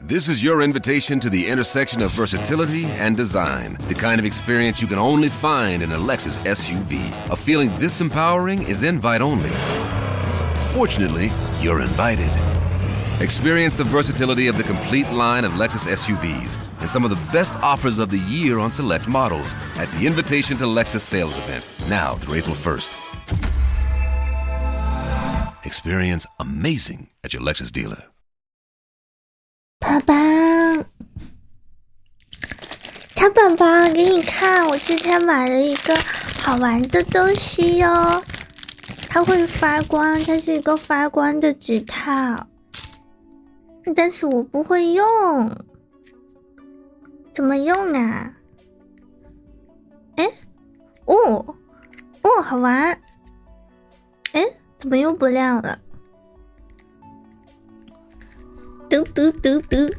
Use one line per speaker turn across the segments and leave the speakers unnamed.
This is your invitation to the intersection of versatility and design, the kind of experience you can only find in a Lexus SUV. A feeling this empowering is invite only. Fortunately, you're invited. Experience the versatility of the complete line of Lexus SUVs and some of the best offers of the year on select models at the Invitation to Lexus sales event, now through April 1st. Experience amazing at your Lexus dealer，
爸爸。小宝宝，给你看，我今天买了一个好玩的东西哦，它会发光，它是一个发光的纸套，但是我不会用，怎么用啊？哎。哦，哦，好玩！哎，怎么又不亮了？得得得得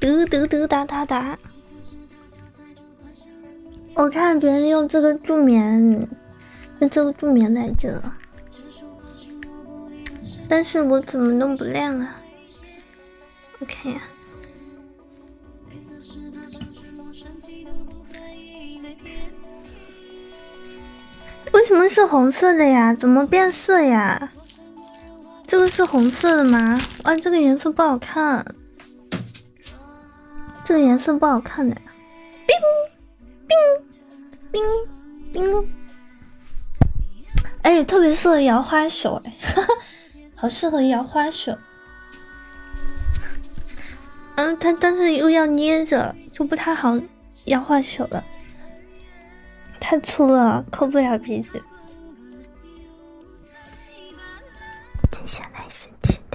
得得得哒哒哒。我看别人用这个助眠，用这个助眠来着，但是我怎么弄不亮啊？OK。为什么是红色的呀？怎么变色呀？这个是红色的吗？哇，这个颜色不好看，这个颜色不好看的。叮冰冰哎，特别适合摇花手，哎，好适合摇花手。嗯，它但是又要捏着，就不太好，要换手了。太粗了，抠不了鼻子。接下来是其他。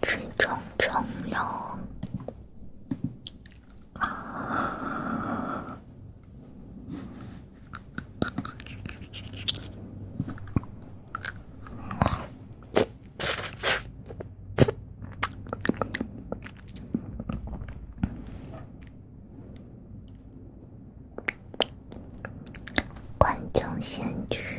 吃虫虫哟！观众先吃。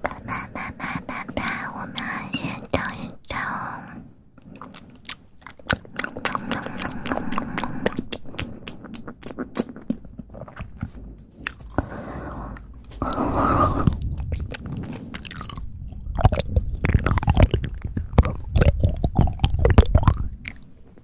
爸爸，爸爸，爸爸，我们运动运动。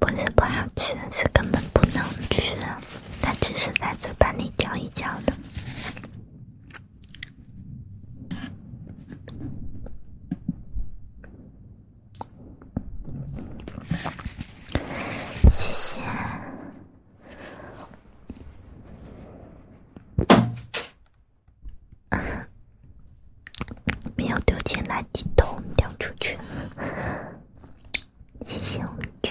不是不好吃，是根本不能吃，它只是在嘴巴里嚼一嚼的。谢谢，没有丢进垃圾桶，掉出去了。谢谢，我丢。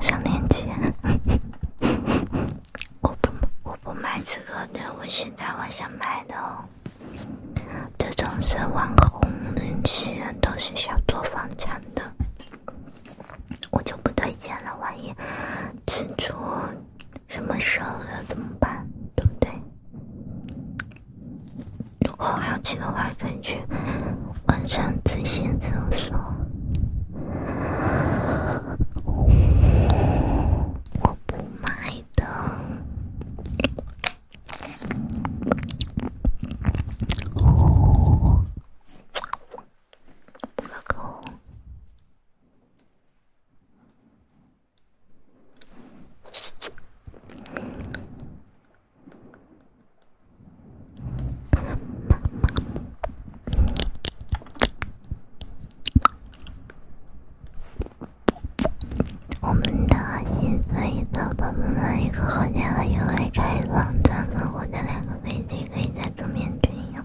上链接？我不，我不买这个的。我现在我想买的，哦，这种是网红，基本上都是小作坊产的。我就不推荐了，万一吃出什么事儿了怎么办？对不对？如果好奇的话，可以去晚上自行搜索。我不买的。我们的新飞机老板们，一个火箭和一个改装钻粉的两个飞机可以在桌面对用。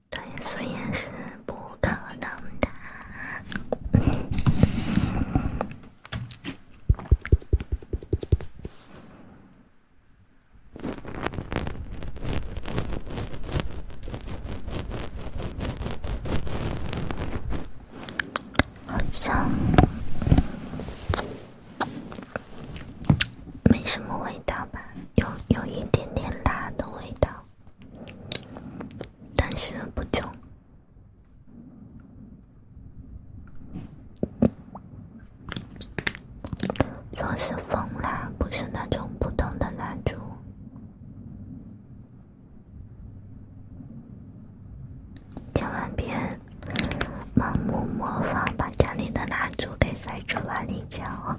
对，所以是不可能
的。好像没什么味道吧？有有一点点辣的味道。但是不中，说是风蜡，不是那种普通的蜡烛。千万别盲目模仿，把家里的蜡烛给塞住，来你奖啊！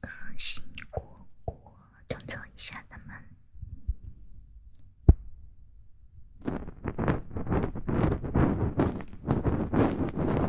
恶心果果，动作一下他们。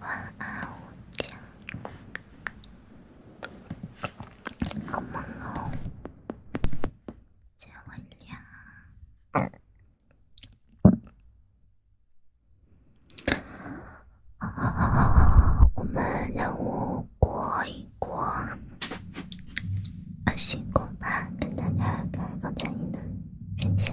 晚安，午觉，好梦哦，天会亮。我们任务过一过，辛苦吧，奶奶，太感谢你了，谢谢。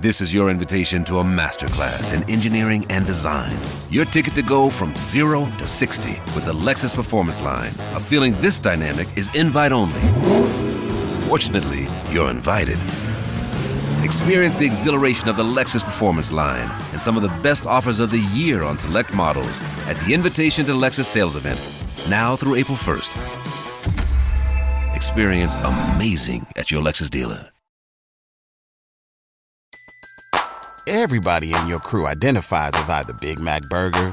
This is your invitation to a masterclass in engineering and design. Your ticket to go from zero to 60 with the Lexus Performance Line feeling this dynamic is invite only. Fortunately, you're invited. Experience the exhilaration of the Lexus Performance line and some of the best offers of the year on select models at the Invitation to Lexus sales event, now through April 1st. Experience amazing at your Lexus dealer. Everybody in your crew identifies as either Big Mac Burger,